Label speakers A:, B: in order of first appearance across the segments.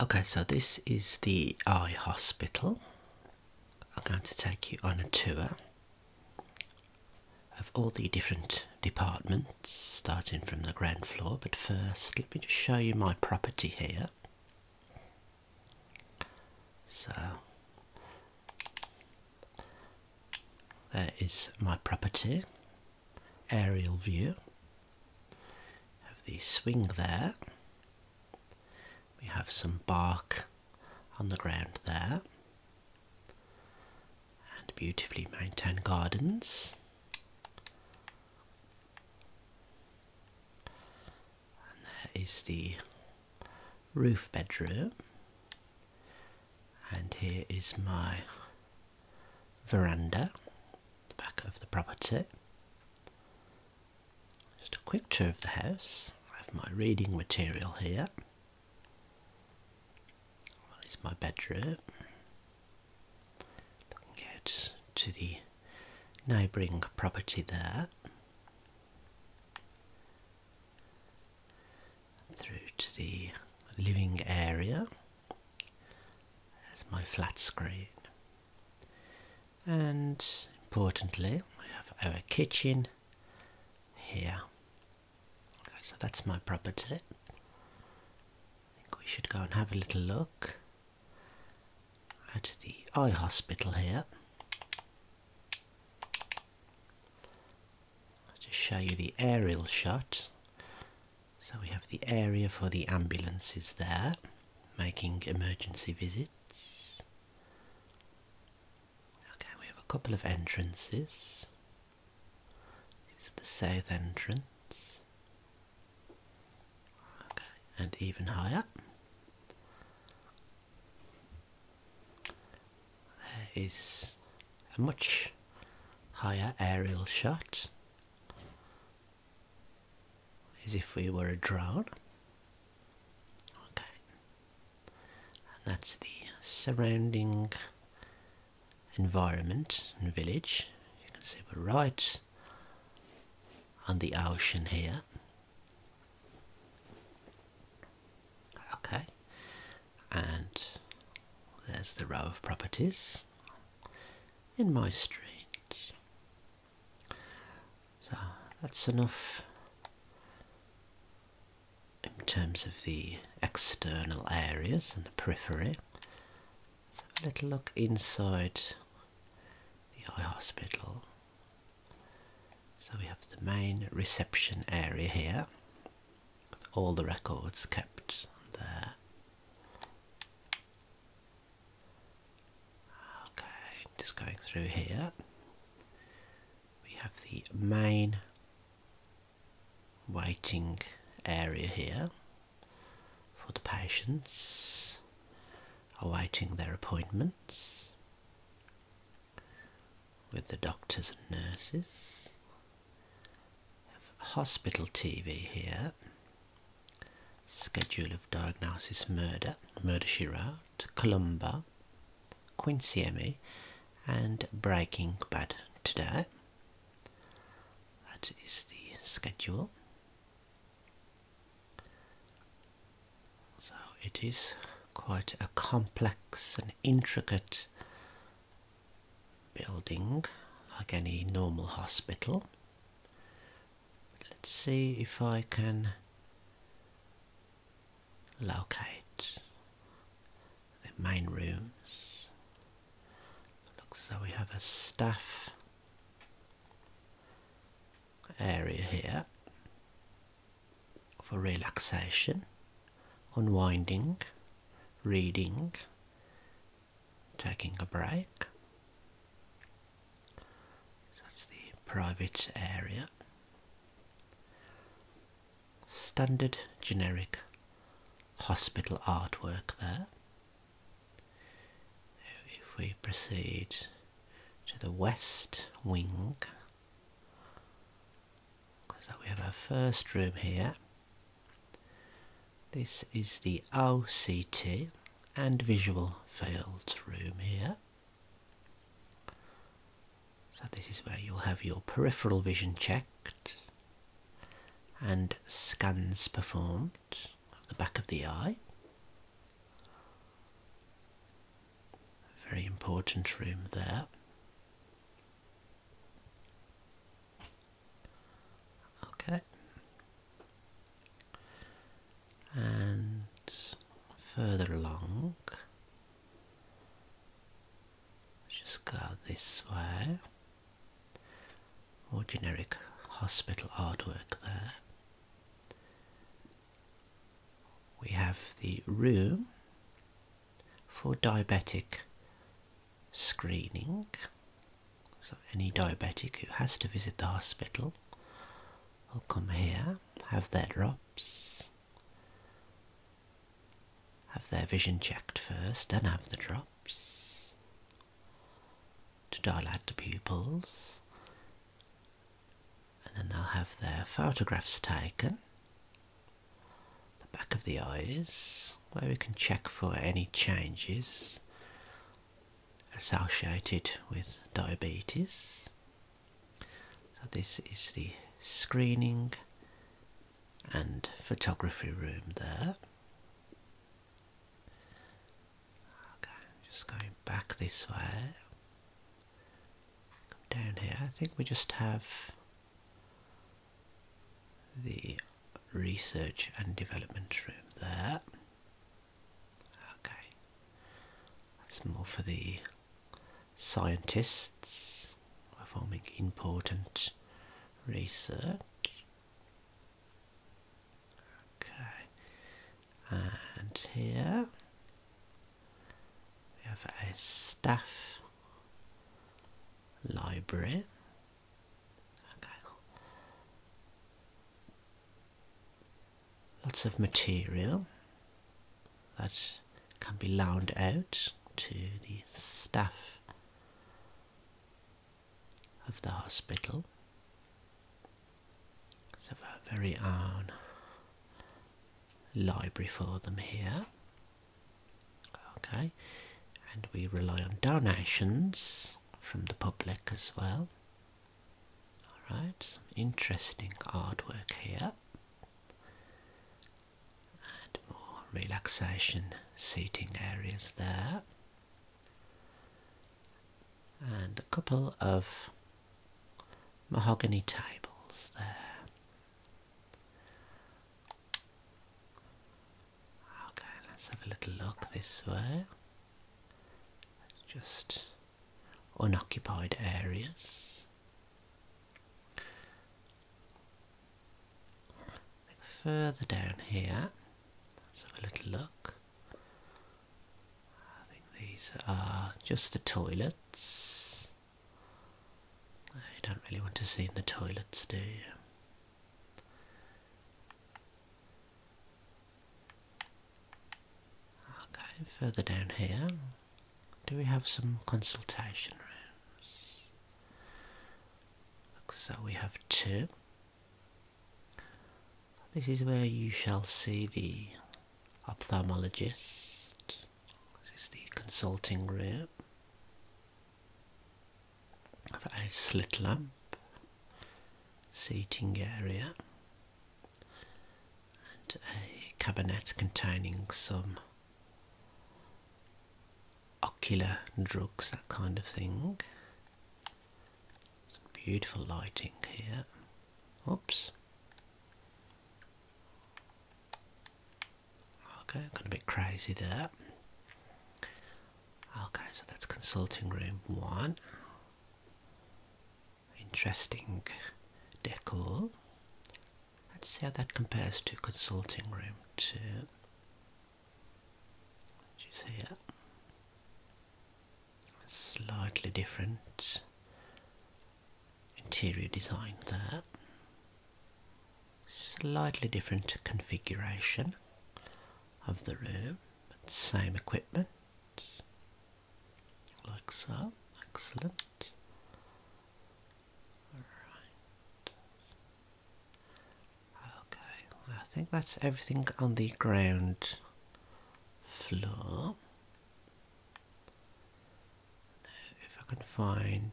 A: Okay, so this is the eye hospital. I'm going to take you on a tour of all the different departments, starting from the ground floor. But first, let me just show you my property here. So, there is my property aerial view of the swing there. We have some bark on the ground there and beautifully maintained gardens. And there is the roof bedroom. And here is my veranda the back of the property. Just a quick tour of the house. I have my reading material here. That is my bedroom. Looking out to the neighbouring property there. Through to the living area. That's my flat screen. And importantly, we have our kitchen here. Okay, so that's my property. I think we should go and have a little look at the eye hospital here. I'll just show you the aerial shot so we have the area for the ambulances there, making emergency visits. Okay, we have a couple of entrances. This is the south entrance. Okay, and even higher. There is a much higher aerial shot as if we were a drone. Okay. And that's the surrounding environment and village. You can see we're right on the ocean here. Okay. And there's the row of properties in my street. So that's enough in terms of the external areas and the periphery. Let's a little look inside the eye hospital. So we have the main reception area here, all the records kept there. Okay, just going through here. We have the main waiting area here for the patients awaiting their appointments with the doctors and nurses hospital TV here. Schedule of diagnosis murder, Murder She Wrote, Columba, Quincy Emmy, and Breaking Bad today. That is the schedule. So it is quite a complex and intricate building like any normal hospital. Let's see if I can locate the main rooms. Looks so we have a staff area here for relaxation, unwinding, reading, taking a break. So that's the private area. Standard generic hospital artwork there. If we proceed to the west wing, so we have our first room here this is the OCT and visual fields room here. So this is where you'll have your peripheral vision checked and scans performed of the back of the eye. Very important room there. Okay. And further along, just go this way. More generic hospital artwork there. We have the room for diabetic screening. So, any diabetic who has to visit the hospital will come here, have their drops, have their vision checked first, then have the drops to dilate the pupils, and then they'll have their photographs taken the back of the eyes where we can check for any changes associated with diabetes. So this is the screening and photography room there. Okay, just going back this way. Come down here. I think we just have the research and development room there. Okay, that's more for the scientists performing important research. Okay, and here we have a staff library. Okay. Lots of material that can be loaned out to the staff of the hospital. So our very own library for them here. Okay, and we rely on donations from the public as well. Alright, some interesting artwork here. And more relaxation seating areas there. And a couple of mahogany tables there. Okay, let's have a little look this way. Just unoccupied areas. Further down here, let's have a little look. I think these are just the toilets. I don't really want to see in the toilets, do you? Okay, further down here, do we have some consultation rooms? So we have two. This is where you shall see the ophthalmologist. This is the consulting room a slit lamp, seating area, and a cabinet containing some ocular drugs, that kind of thing. Some beautiful lighting here. Oops. Okay, I'm gonna be crazy there. Okay, so that's consulting room one. Interesting decor. Let's see how that compares to consulting room two. Which is here. Slightly different interior design there. Slightly different configuration of the room, but same equipment, like so. Excellent. Alright. Okay, I think that's everything on the ground floor if I can find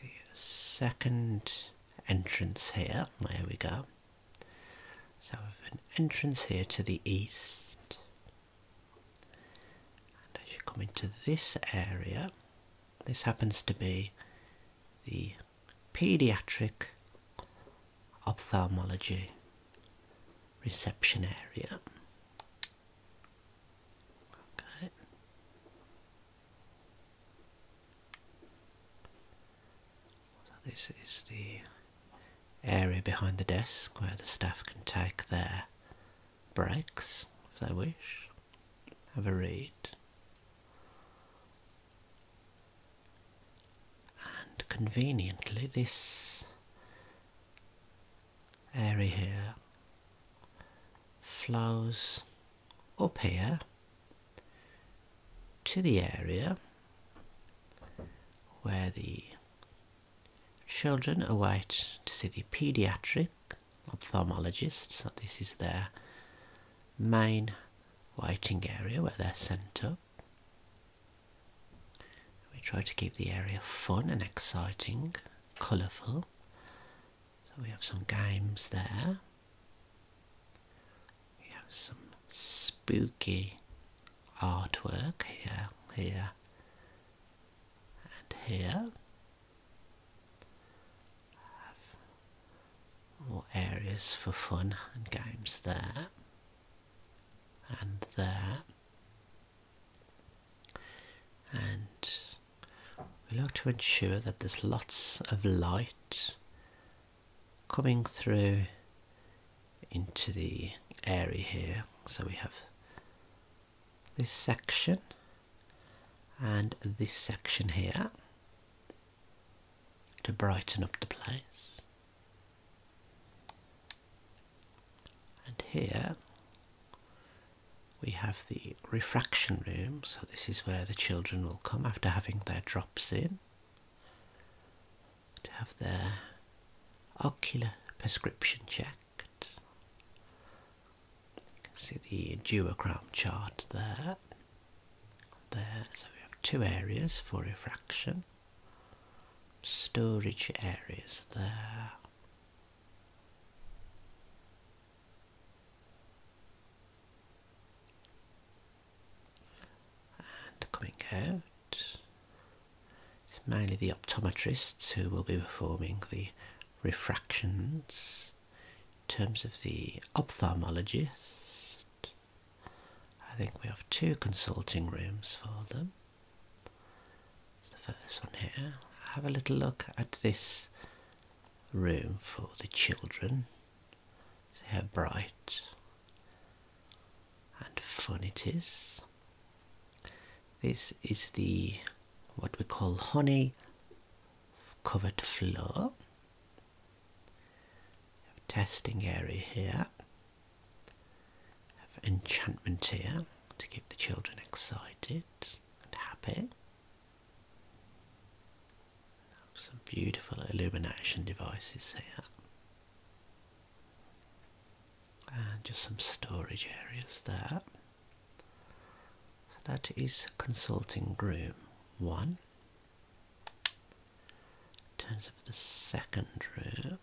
A: the second entrance here, there we go. So we have an entrance here to the east and as you come into this area this happens to be the pediatric ophthalmology reception area. Okay. this is the area behind the desk where the staff can take their breaks if they wish, have a read, and conveniently this area here flows up here to the area where the children await to see the paediatric ophthalmologist so this is their main waiting area where they're sent up we try to keep the area fun and exciting, colourful. So we have some games there. We have some spooky artwork here, here, and here. More areas for fun and games there and there. And we like to ensure that there's lots of light coming through into the area here. So we have this section and this section here to brighten up the place. And here we have the refraction room, so this is where the children will come after having their drops in to have their ocular prescription checked. You can see the duochrome chart there there. So we have two areas for refraction, storage areas there. And coming out, it's mainly the optometrists who will be performing the refractions. In terms of the ophthalmologist, I think we have two consulting rooms for them. It's the first one here. Have a little look at this room for the children. See how bright and funny it is. This is the what we call honey covered floor testing area here. enchantment here to keep the children excited and happy. some beautiful illumination devices here. And just some storage areas there. that is consulting room one. Turns terms of the second room.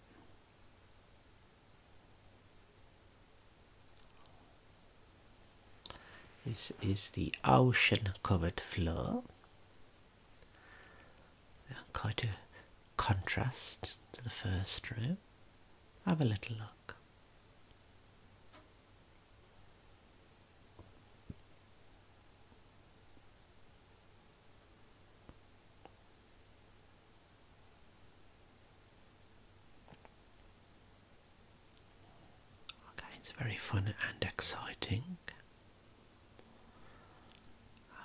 A: this is the ocean covered floor. Quite a contrast to the first room. Have a little look. Okay, it's very fun and exciting.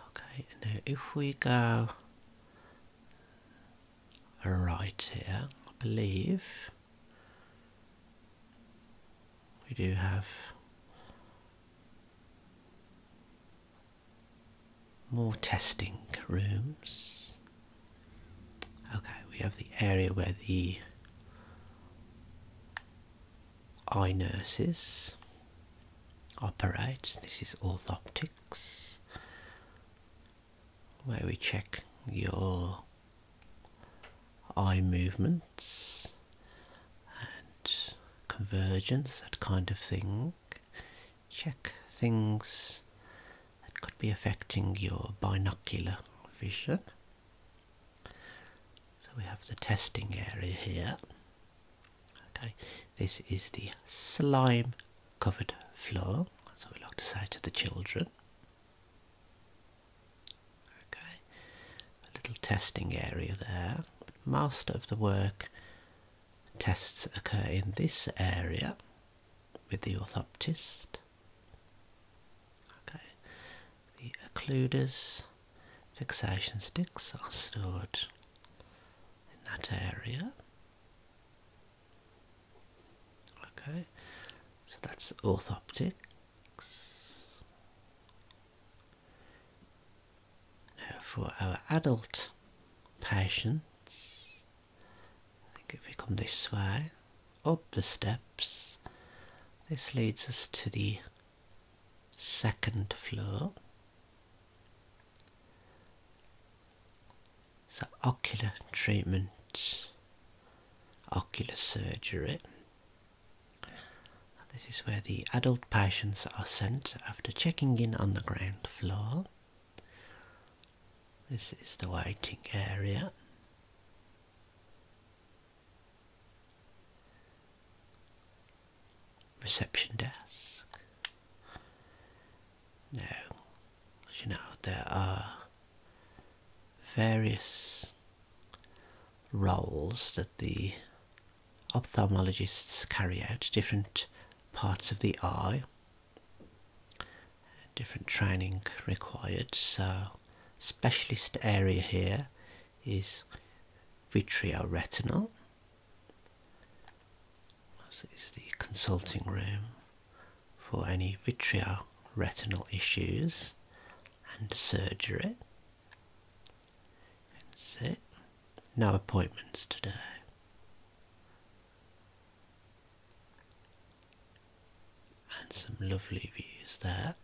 A: Okay, now if we go right here, I believe we do have more testing rooms. Okay, we have the area where the eye nurses operate. This is orthoptics, where we check your eye movements and convergence, that kind of thing. Check things that could be affecting your binocular vision. So we have the testing area here. Okay, this is the slime covered floor, so we like to say to the children. Okay, a little testing area there. Most of the work tests occur in this area with the orthoptist. Okay, the occluders fixation sticks are stored in that area. Okay, so that's orthoptic. Now for our adult patients, I think if we come this way, up the steps, this leads us to the second floor. So ocular treatment ocular surgery. This is where the adult patients are sent after checking in on the ground floor. This is the waiting area. Reception desk. Now, you know, there are various roles that the ophthalmologists carry out, different parts of the eye, different training required. So, specialist area here is vitrioretinal. So this is the consulting room for any vitreoretinal retinal issues and surgery. That's No appointments today. And some lovely views there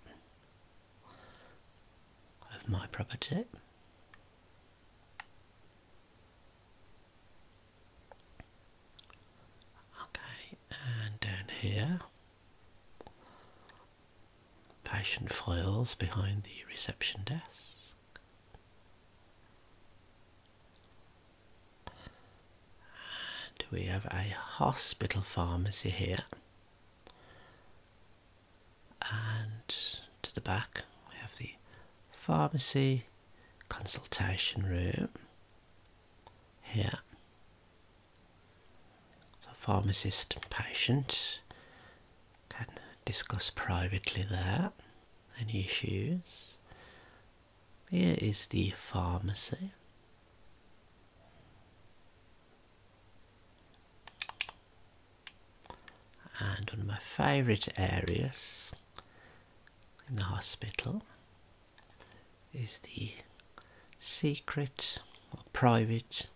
A: of my property. Okay, and down here, patient files behind the reception desk. And we have a hospital pharmacy here. And to the back, we have the pharmacy consultation room here. So pharmacist patient can discuss privately there any issues. Here is the pharmacy. And one of my favourite areas in the hospital is the secret or private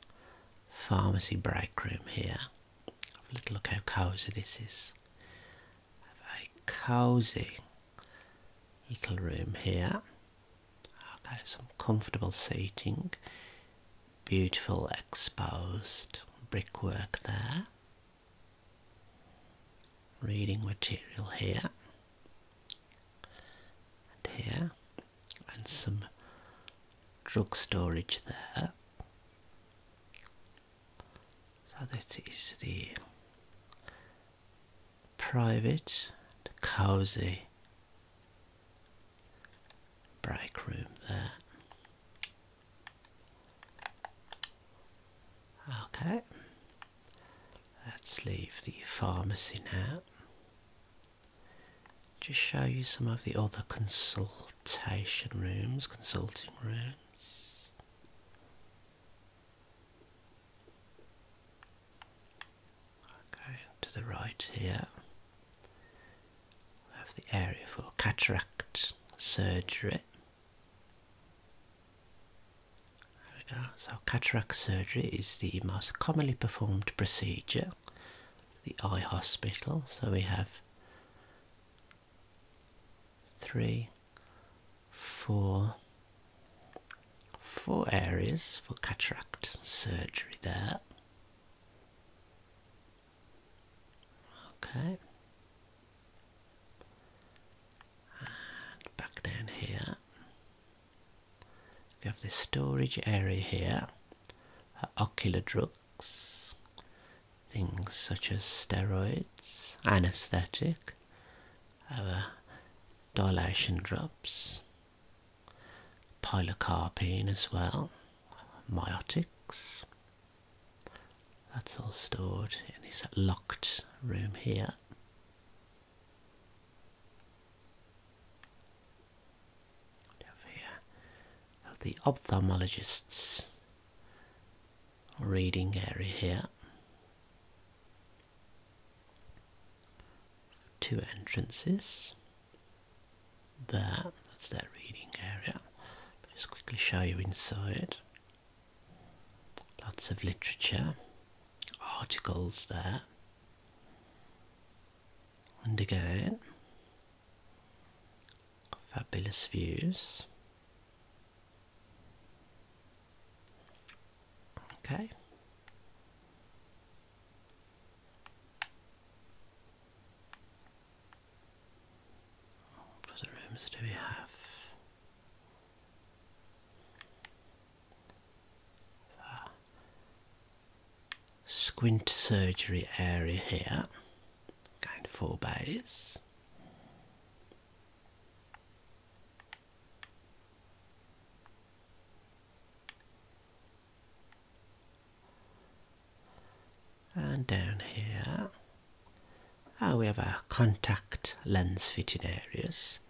A: pharmacy break room here. look how cosy this is. Have a cosy little room here. Okay, some comfortable seating, beautiful exposed brickwork there. Reading material here and here, and some drug storage there. So that is the private, the cosy break room there. Okay, let's leave the pharmacy now. Just show you some of the other consultation rooms, consulting rooms. Okay, to the right here, we have the area for cataract surgery. So cataract surgery is the most commonly performed procedure the eye hospital. So we have three, four, four areas for cataract surgery there. Okay back down here, we have this storage area here ocular drugs, things such as steroids, anesthetic, our dilation drops, pilocarpine as well, myotics. That's all stored in this locked room here. Of the ophthalmologist's reading area here. Two entrances. There, that's that reading area. just quickly show you inside. Lots of literature, articles there. And again, fabulous views. Okay. What rooms do we have? squint surgery area here, going four bays. And down here, Ah, we have our contact lens fitting areas.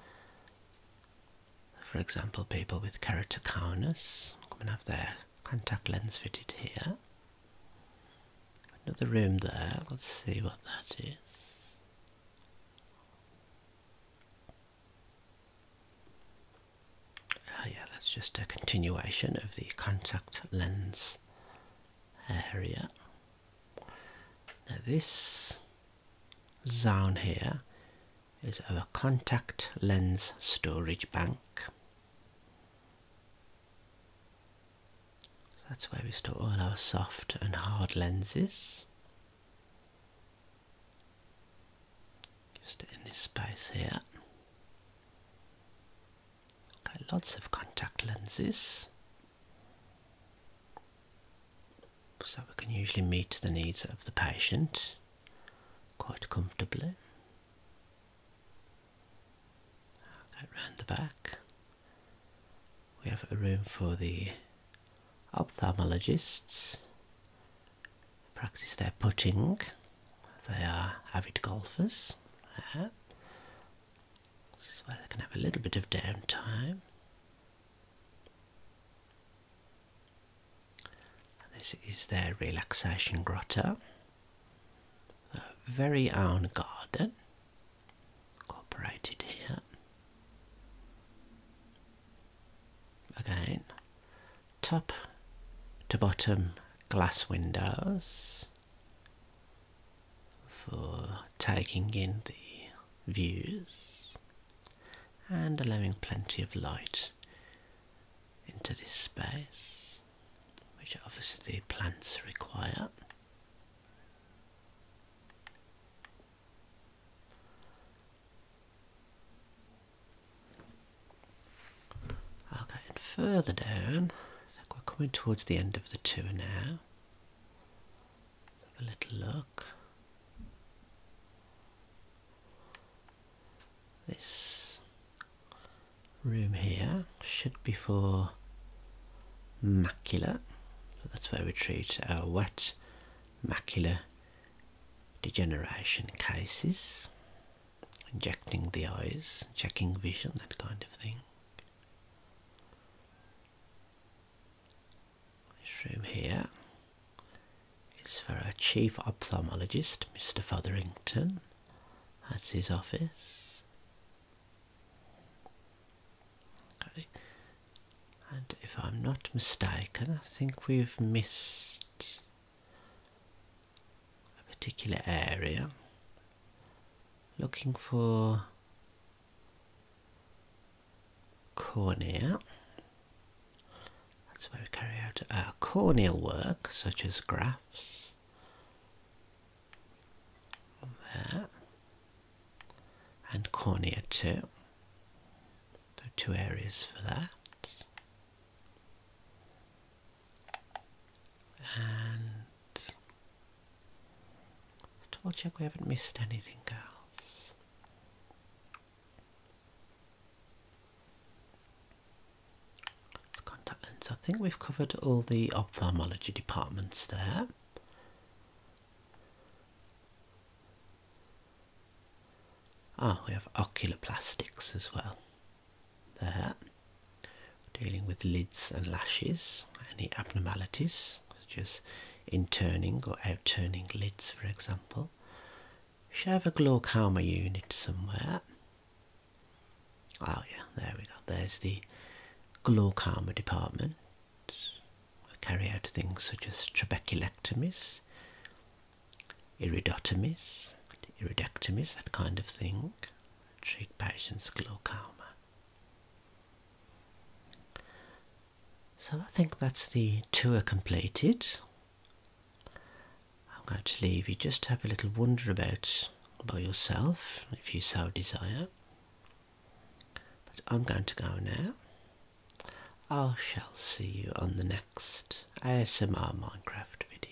A: For example, people with keratoconus come and have their contact lens fitted here. Another room there, let's see what that is. Oh yeah, that's just a continuation of the contact lens area. Now this zone here is our contact lens storage bank. that's where we store all our soft and hard lenses. Just in this space here lots of contact lenses. So we can usually meet the needs of the patient quite comfortably. Get the back. We have a room for the ophthalmologists. Practice their putting. They are avid golfers. There. So is they can have a little bit of downtime. this is their relaxation grotto. Their very own garden incorporated here. Again, top to bottom glass windows for taking in the views and allowing plenty of light into this space, which obviously the plants require. Okay, and further down, I think we're coming towards the end of the tour now have a little look. This room here should be for macula. that's where we treat our wet macular degeneration cases, injecting the eyes, checking vision, that kind of thing. This room here is for our chief ophthalmologist, Mr. Fotherington. That's his office. Okay. And if I'm not mistaken, I think we've missed a particular area looking for cornea. That's where we carry out our corneal work, such as grafts. There. And cornea too. are two areas for that and double check we haven't missed anything else. contact lens. I think we've covered all the ophthalmology departments there. Ah, we have ocular plastics as well. There dealing with lids and lashes, any abnormalities such as interning or outturning lids, for example. You should have a glaucoma unit somewhere. Oh yeah, there we go. There's the glaucoma department. I carry out things such as trabeculectomies, iridotomies, iridectomies, that kind of thing treat patients' glaucoma. So I think that's the tour completed. I'm going to leave you just have a little wonder about by yourself if you so desire. But I'm going to go now. I shall see you on the next ASMR Minecraft video.